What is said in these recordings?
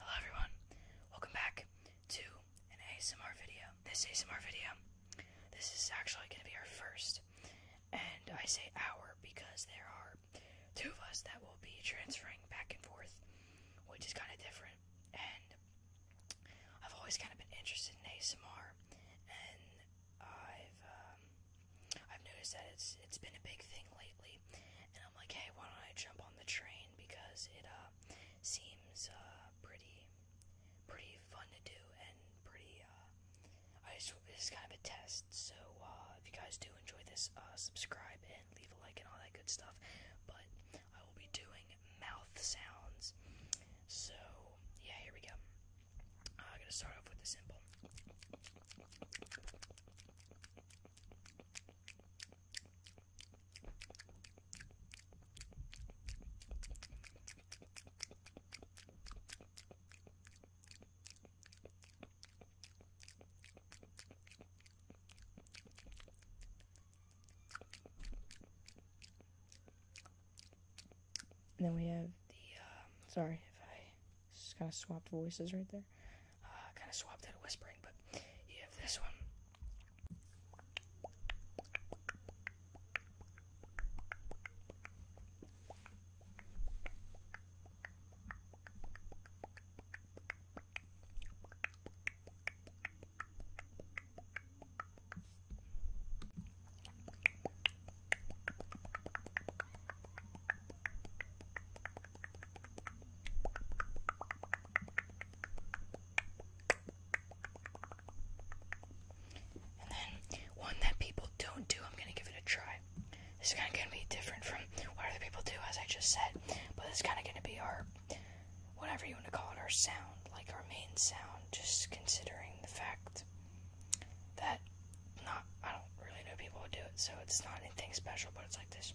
Hello everyone, welcome back to an ASMR video. This ASMR video, this is actually going to be our first, and I say our because there are two of us that will be transferring back and forth, which is kind of different, and I've always kind of been interested in ASMR, and I've, um, I've noticed that it's it's been a big thing lately and I'm like, hey, why don't I jump on the train because it uh, seems uh, pretty, pretty fun to do and pretty. Uh, I just it's kind of a test. So if you guys do enjoy this, subscribe and leave a like and all that good stuff. But I will be doing mouth sounds. So yeah, here we go. I'm gonna start off with the simple then we have the, um, sorry if I just kind of swapped voices right there. Uh, kind of swapped out of whispering, but you have this one. And then one that people don't do, I'm gonna give it a try. This is kind of gonna be different from what other people do, as I just said, but it's kind of gonna be our whatever you want to call it, our sound, like our main sound, just considering the fact that not I don't really know people who do it, so it's not anything special, but it's like this.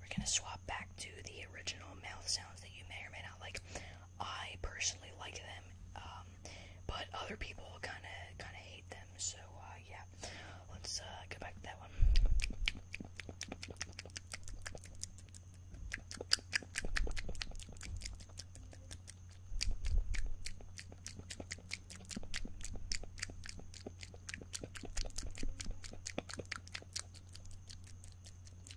We're going to swap back to the original mouth sounds that you may or may not. Like I personally like them, um, but other people kind of kind of hate them. So uh, yeah, let's uh, go back to that one.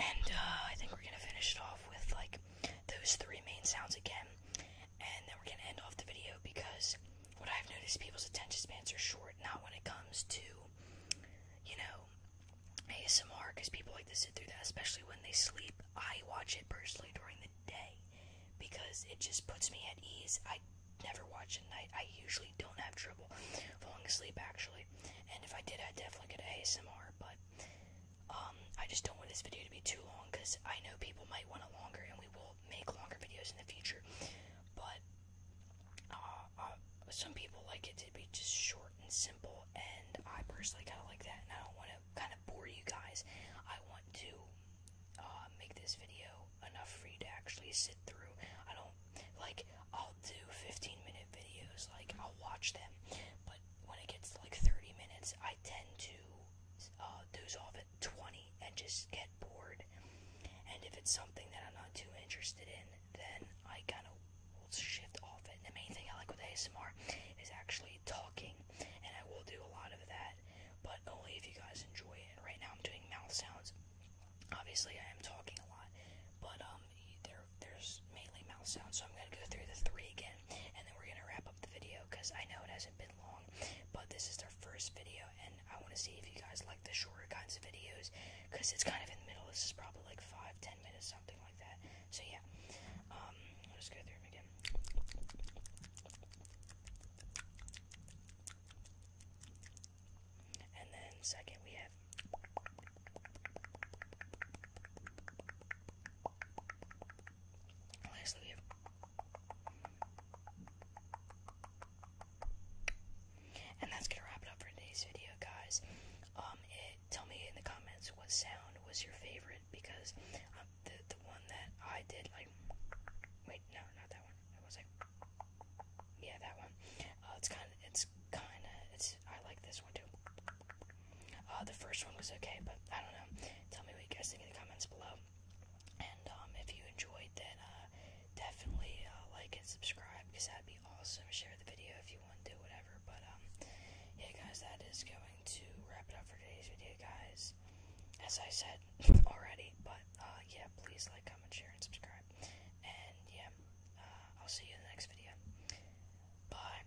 And uh, I think we're gonna finish it off with like those three main sounds again, and then we're gonna end off the video because what I've noticed people's attention spans are short, not when it comes to you know, ASMR because people like to sit through that, especially when they sleep. I watch it personally during the day because it just puts me at ease. I never watch at night. I usually don't have trouble falling asleep, actually. And if I did, I'd definitely get ASMR, but um, I just don't want this video to be too long because I know people might want it longer and we will make longer videos in the future. But uh, uh, some people like it to be just short and simple, and I personally kind of like that, and I don't want to kind of bore you guys. I want to uh, make this video enough for you to actually sit through. I don't, like, I'll do 15-minute videos, like, I'll watch them, but when it gets to, like, 30 minutes, I tend to uh, doze off 20 and just get bored. And if it's something that I'm not too interested in, then I kind of will shift off it. And the main thing I like with ASMR is actually talking, and I will do a lot of that, but only if you guys enjoy it. Right now, I'm doing mouth sounds. Obviously, I am talking a lot, but um, there there's mainly mouth sounds. So I'm gonna go through the three again, and then we're gonna wrap up the video because I know it hasn't been but this is their first video, and I want to see if you guys like the shorter kinds of videos, because it's kind of in the middle. This is probably like five, ten minutes, something like that. So yeah, um, i go through them again. And then second we have and that's gonna wrap it up for today's video, guys. Um, tell me in the comments what sound was your favorite because um, the the one that I did like. Wait, no, not that one. It was like, yeah, that one. Uh, it's kind of, it's kind of, it's. I like this one too. Uh, the first one was okay, but I don't know. Tell me what you guys think in the comments below. And um, if you enjoyed, then uh, definitely uh, like and subscribe because that'd be awesome. Share the video if you want to, do whatever. But um, yeah, guys, that is going to wrap it up for today's video, guys. As I said already, but uh, yeah, please like, comment, share, and subscribe. And yeah, I'll see you in the next video. Bye.